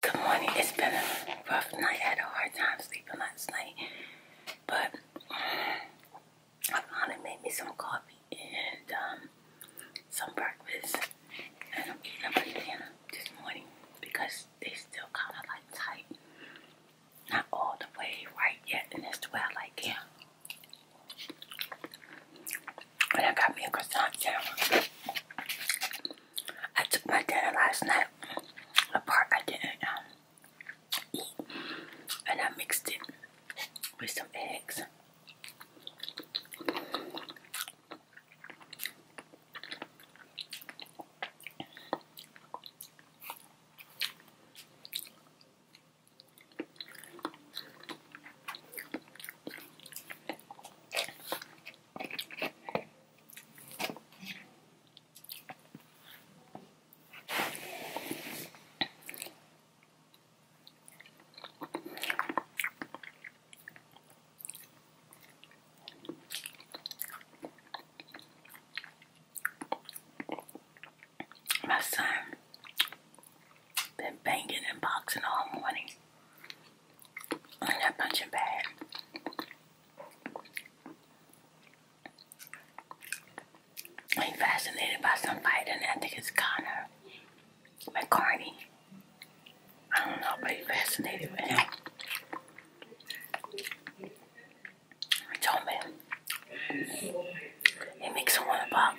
Good morning. It's been a rough night. I had a hard time sleeping last night. But mm, I finally made me some coffee and um, some breakfast. And I'm eating a banana this morning because they still kind of like tight. Not all the way right yet. And it's the way I like it. And I got me a croissant sandwich. I took my dinner last night, the I didn't um, eat, and I mixed it with some eggs. My son been banging and boxing all morning. And that punching bag. I'm fascinated by some fighting. I think it's Connor McCarney. I don't know, but he's fascinated by him. I told me. It makes him want to box.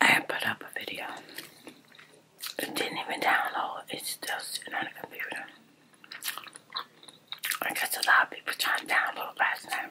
I put up a video. didn't even download. It's still sitting on the computer. I guess a lot of people trying to download last night.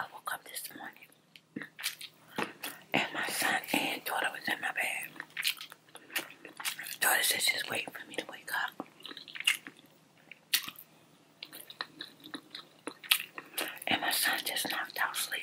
I woke up this morning and my son and daughter was in my bed. daughter said she's waiting for me to wake up. And my son just knocked out sleep.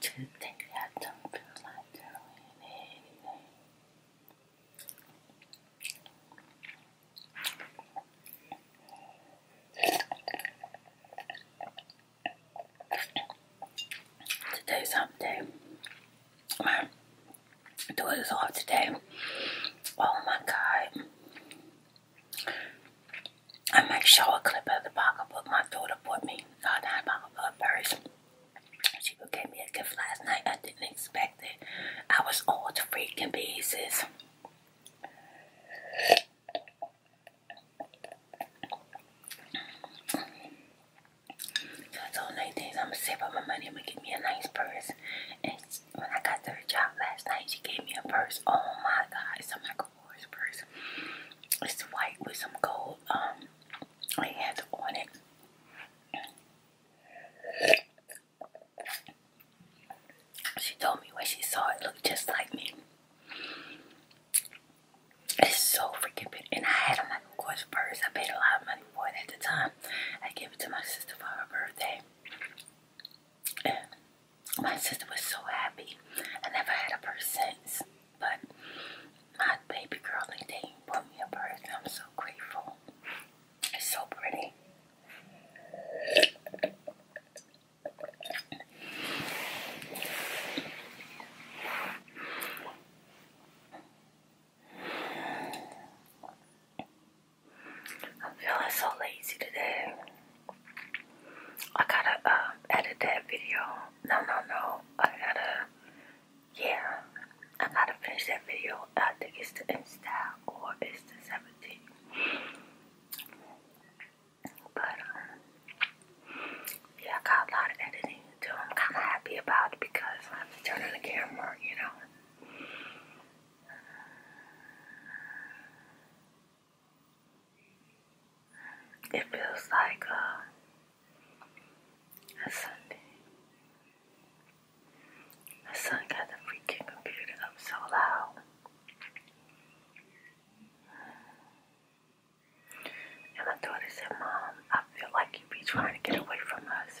To think I don't feel like doing anything. Today's hump day. My daughter's off today. Oh my god. I make sure a clip of the pocketbook my daughter bought me, uh, not a pocketbook purse. She gave me a gift last night. I didn't expect it. I was all to freaking pieces. So I told Nadine I'm gonna save up my money. I'm gonna get me a nice purse. And when I got to job last night, she gave me a purse. Oh my God! It's a micro Cowboys purse. It's white with some gold um hands on it. She told me when she saw it looked just like me. It's so freaking big. And I had a Michael Kors purse. I paid a lot of money for it at the time. I gave it to my sister for her birthday my sister was so happy. I never had a birth since, but my baby girl and they bought me a birth. I'm so grateful. It's so pretty. I'm feeling so lazy today. I gotta um, edit that video. No, no, no. I gotta, yeah. I gotta finish that video. I think it's the Insta or it's the Seventeen. But, um, yeah, I got a lot of editing to do. I'm kind of happy about it because I have to turn on the camera, you know. It feels like uh, a Sunday. My son got the freaking computer up so loud. And my daughter said, Mom, I feel like you be trying to get away from us.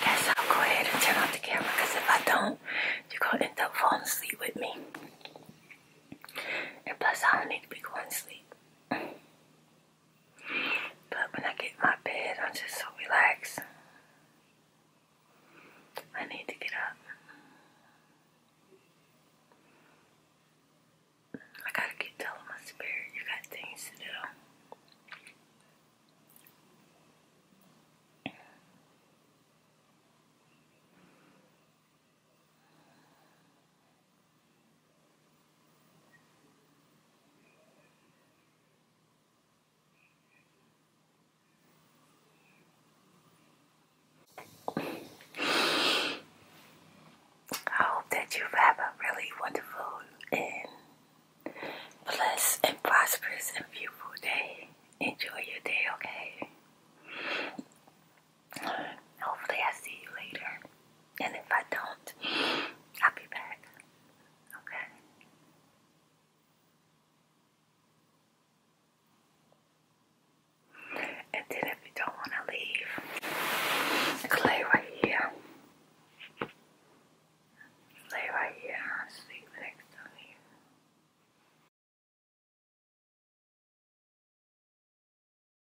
Yes, I'll go ahead and turn off the camera because if I don't, you're going to end up falling asleep with me. And plus, I don't need to be going to sleep. But when I get my bed, I'm just so relaxed. I need to get up. I gotta keep telling my spirit, you got things to do. I hope that you have a really wonderful and blessed and prosperous and beautiful day. Enjoy your day, okay? Hopefully, I see you later. And if I don't, I'll be back. Okay? And then if you don't want to leave, lay right here. Lay right here. sleep next to me.